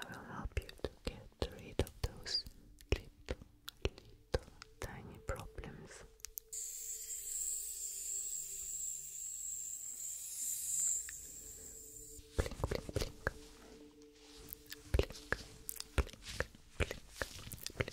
I will help you to get rid of those little, little tiny problems. Blink, blink, blink. Blink, blink, blink, blink.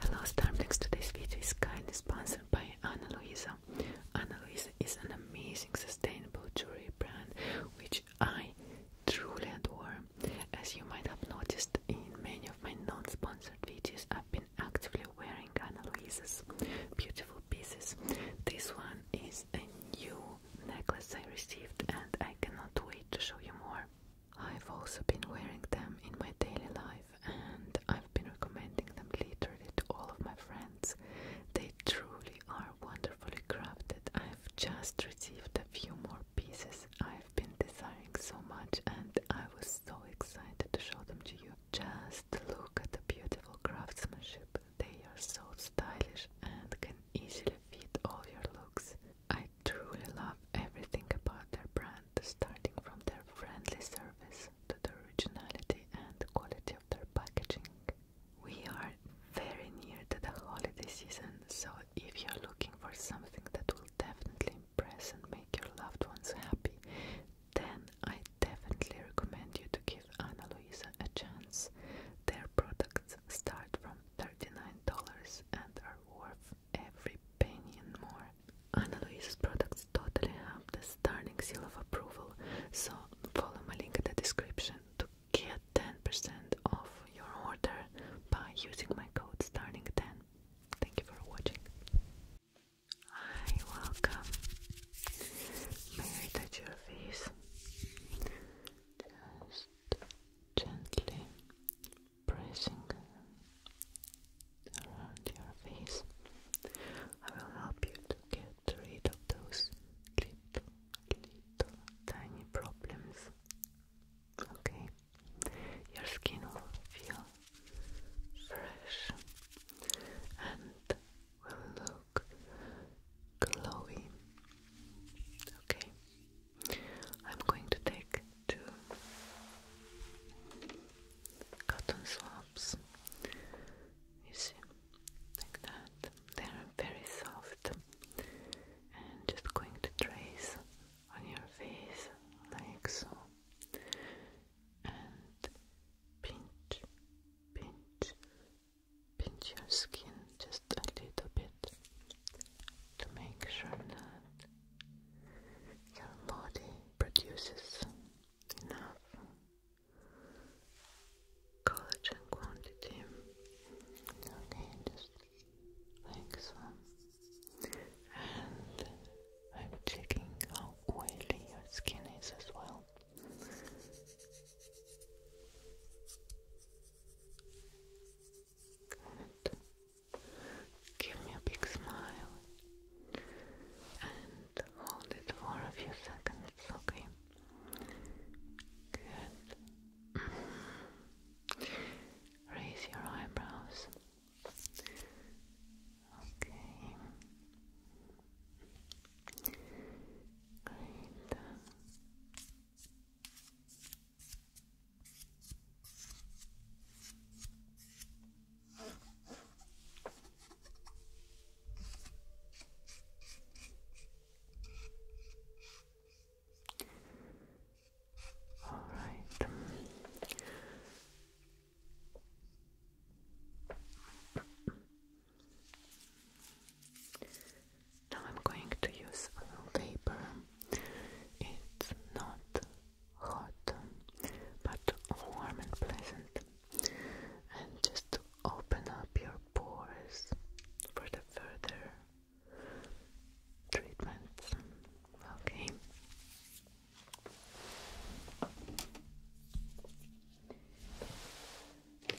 The last time to this video is kindly sponsored by Ana Luisa. Ana Luisa is an amazing sustainable jewelry brand which I truly adore. As you might have noticed in many of my non-sponsored videos, I've been been actively wearing Ana Luisa's beautiful pieces. This one is a new necklace I received and I cannot wait to show you more. I've also been wearing them in my daily life and I've been recommending them literally to all of my friends. They truly are wonderfully crafted. I've just received a few more pieces I've been desiring so much and I was so excited to show them to you. Just look at the beautiful craftsmanship. They are so stylish and can easily fit all your looks. I truly love everything about their brand, starting from their friendly service to the originality and quality of their packaging. We are very near to the holiday season, so if you're looking for something that will definitely impress and make your loved ones happy, then I definitely recommend you to give Ana Luisa a chance. Their products start from $39 and are worth every penny and more. Ana Luisa's products totally have the stunning seal of approval, so follow my link in the description to get 10% off your order by using my code starting 10. Thank you for watching. Hi, welcome. I touch your face? Just gently pressing around your face. I will help you to get rid of those little, little tiny problems. Okay, your skin will feel fresh and will look glowy. Okay, I'm going to take two cotton swabs. You see, like that. They are very soft, and just going to trace on your face like so pinch, pinch, pinch your skin just a little bit to make sure that your body produces enough collagen quantity. Okay, just like so. And I'm checking how oily your skin is as well. Give me a big smile and hold it for a few seconds, okay? Good. Mm-hmm. Raise your eyebrows. Okay. Great. All right. Now I'm going to use a paper. It's not hot, but warm and pleasant. And just open up your pores for the further treatments. Okay. Like so. Good.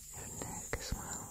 Your neck as well.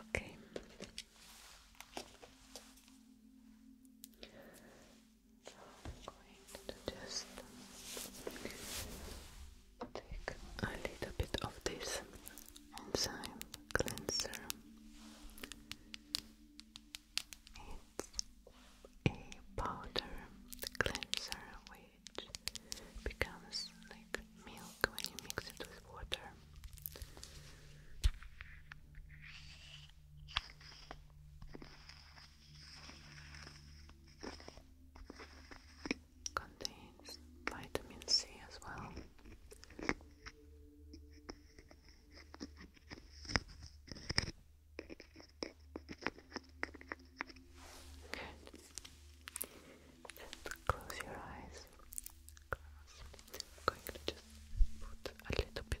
Okay. So I'm going to just take a little bit of this enzyme cleanser. It's a powder cleanser which becomes like milk when you mix it with water contains vitamin C as well. Just close your eyes. I'm going to just put a little bit.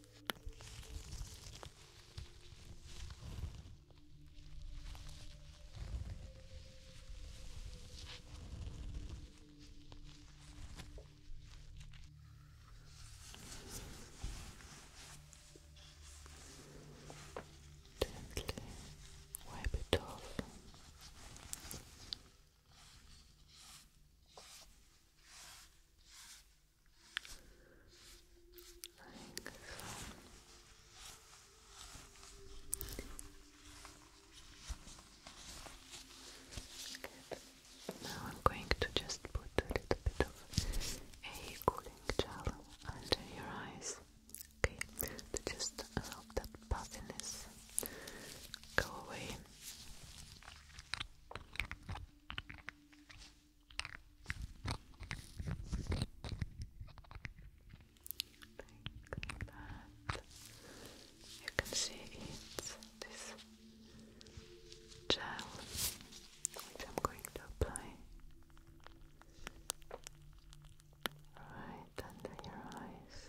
Gently wipe it off. Like so. Now I'm going to just put a little bit of a cooling gel under your eyes. Okay, to just help that puffiness go away. Like You can see it's this gel which I'm going to apply right under your eyes.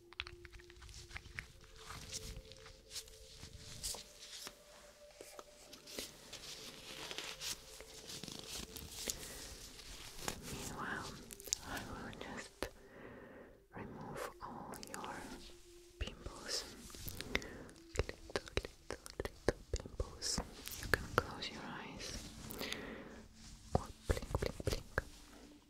Meanwhile, I will just remove all your pimples, little, little, little pimples. You can close your eyes or blink, blink, blink.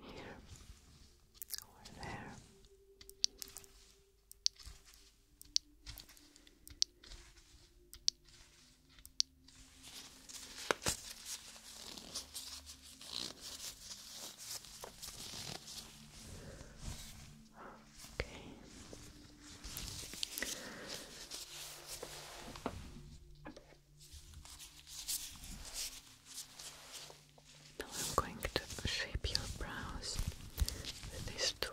Here or there. Okay. Now I'm going to shape your brows with this tool.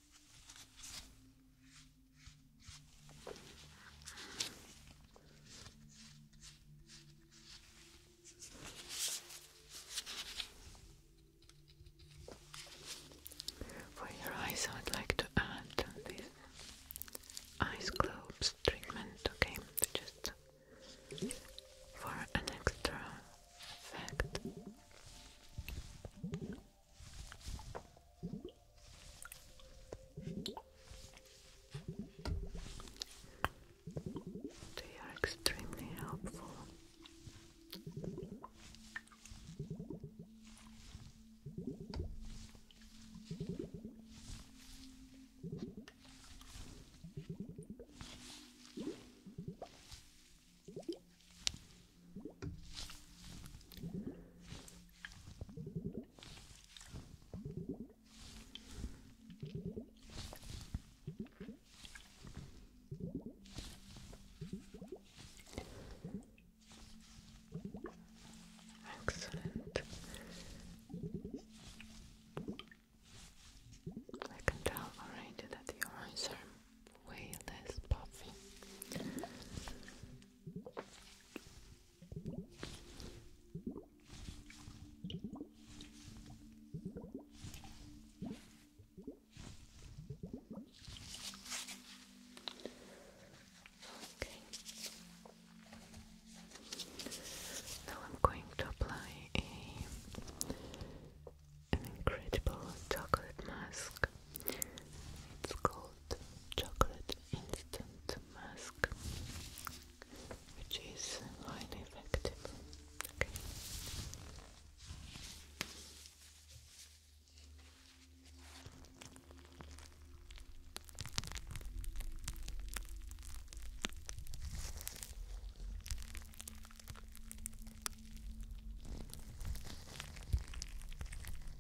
For your eyes, I would like to add this ice globes treatment, okay? Just for an extra effect. They are extremely helpful. Excellent. I can tell already that your eyes are way less puffy Okay. Now I'm going to apply a an incredible chocolate mask it's called Chocolate Instant Mask, which is highly effective.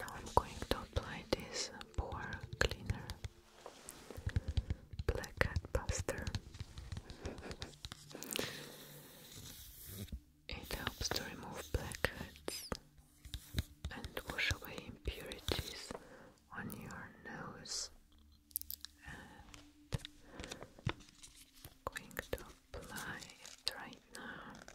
Now I'm going to apply this pore cleaner black cat It helps to remove blackheads and wash away impurities on your nose going to apply it right now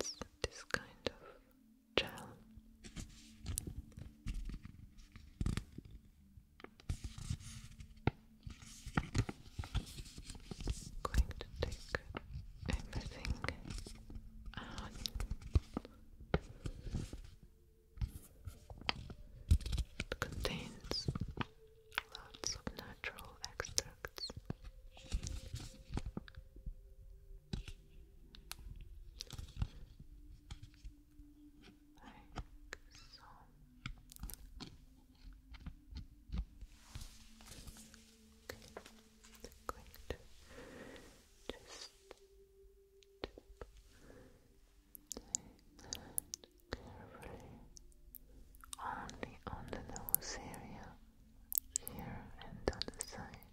It's this kind of gel. going to take everything out. It contains lots of natural extra products. Like so. Okay. i just carefully only on the nose area here and on the side.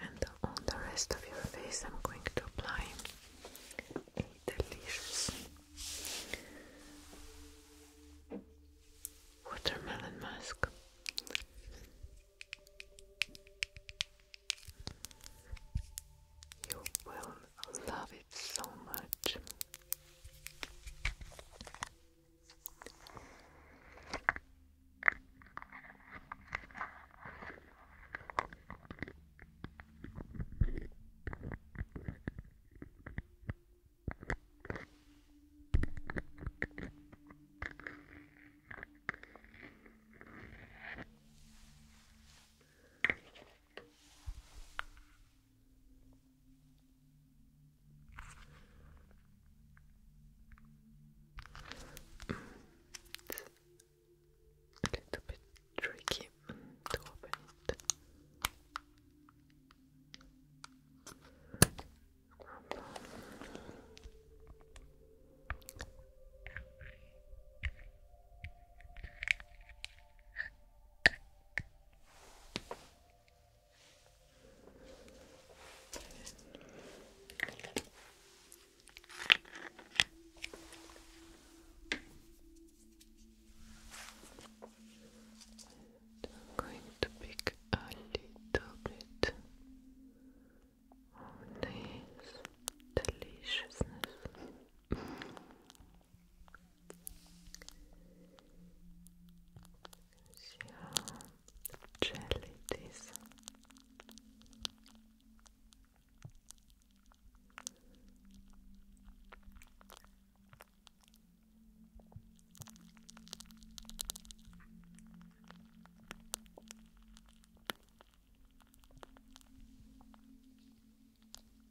And on the rest of your face, I'm going to apply a delicious watermelon mask. You will I love it so much a little bit tricky to open it. I'm going to pick a little bit of this deliciousness. So jelly this.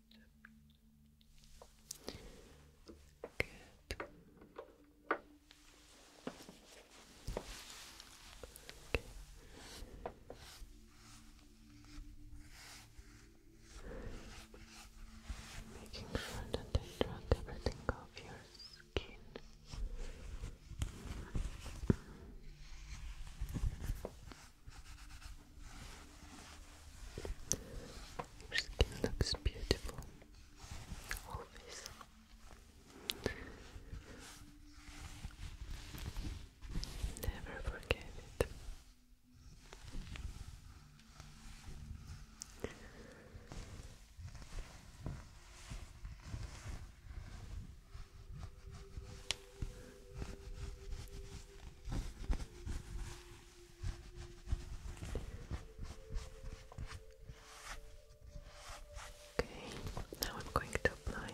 Good. Okay. Making sure that I drag everything off your skin. Your skin looks beautiful, always. Never forget it. Okay, now I'm going to apply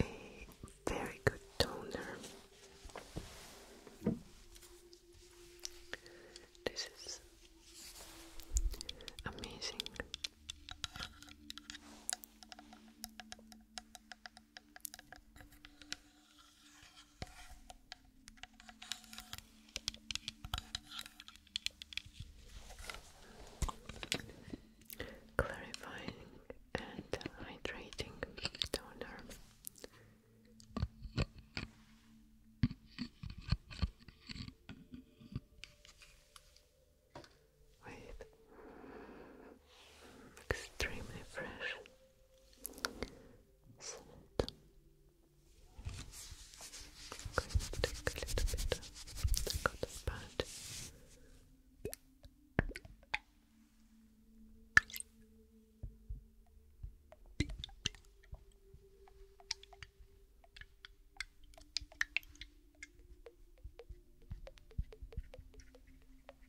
a very good toner. This is amazing. Clarifying and hydrating toner. Wait. Extremely fresh. Salt. I'm going to take a little bit of the cotton pad.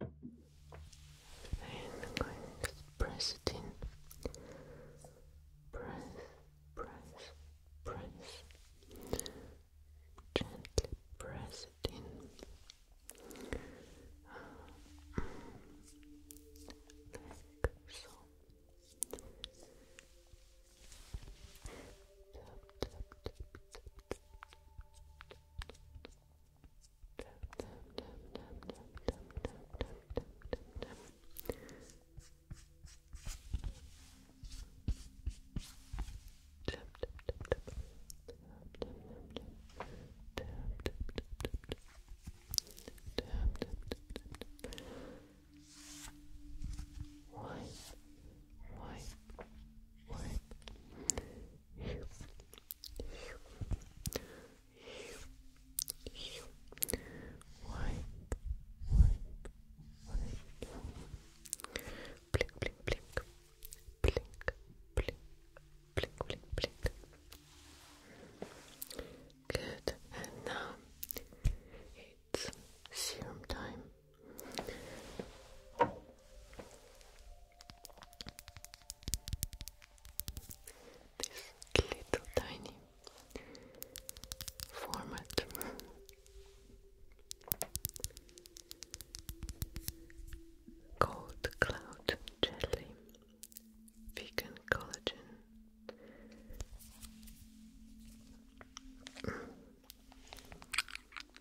And I'm going to press it in. Press, press, press. Gently press it in. so wipe wipe wipe blink, blink, blink, blink, blink, blink, blink, blink. Good, and now it's serum time this little tiny format. Cold cloud jelly, vegan collagen.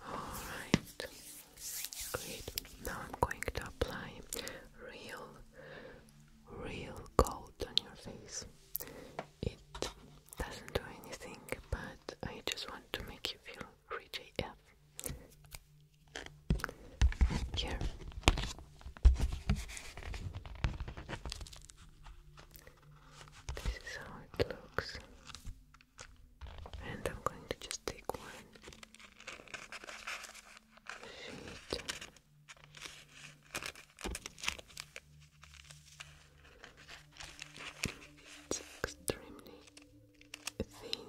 All right, great. Now I'm going to apply real real cold on your face. It doesn't do anything, but I just want to make you feel rich Yeah. Here. This is how it looks. And I'm going to just take one sheet it's extremely thin. I'm going to pick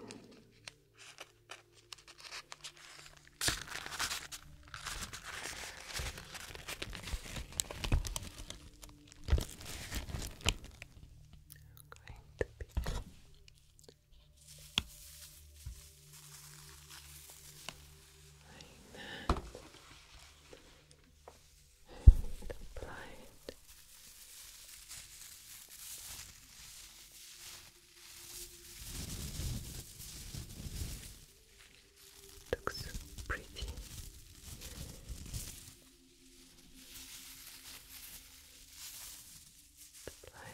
that. And apply it. Looks so pretty. Apply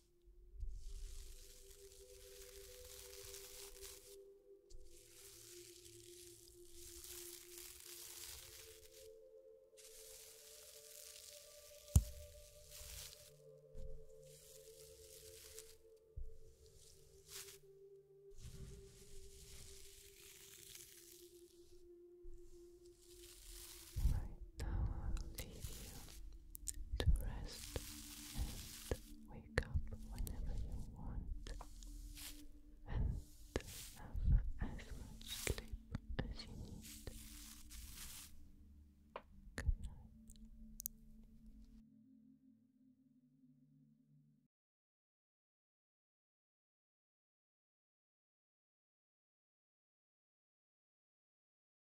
Right now, I'll leave you to rest and wake up whenever you want and have as much sleep as you need. Good night.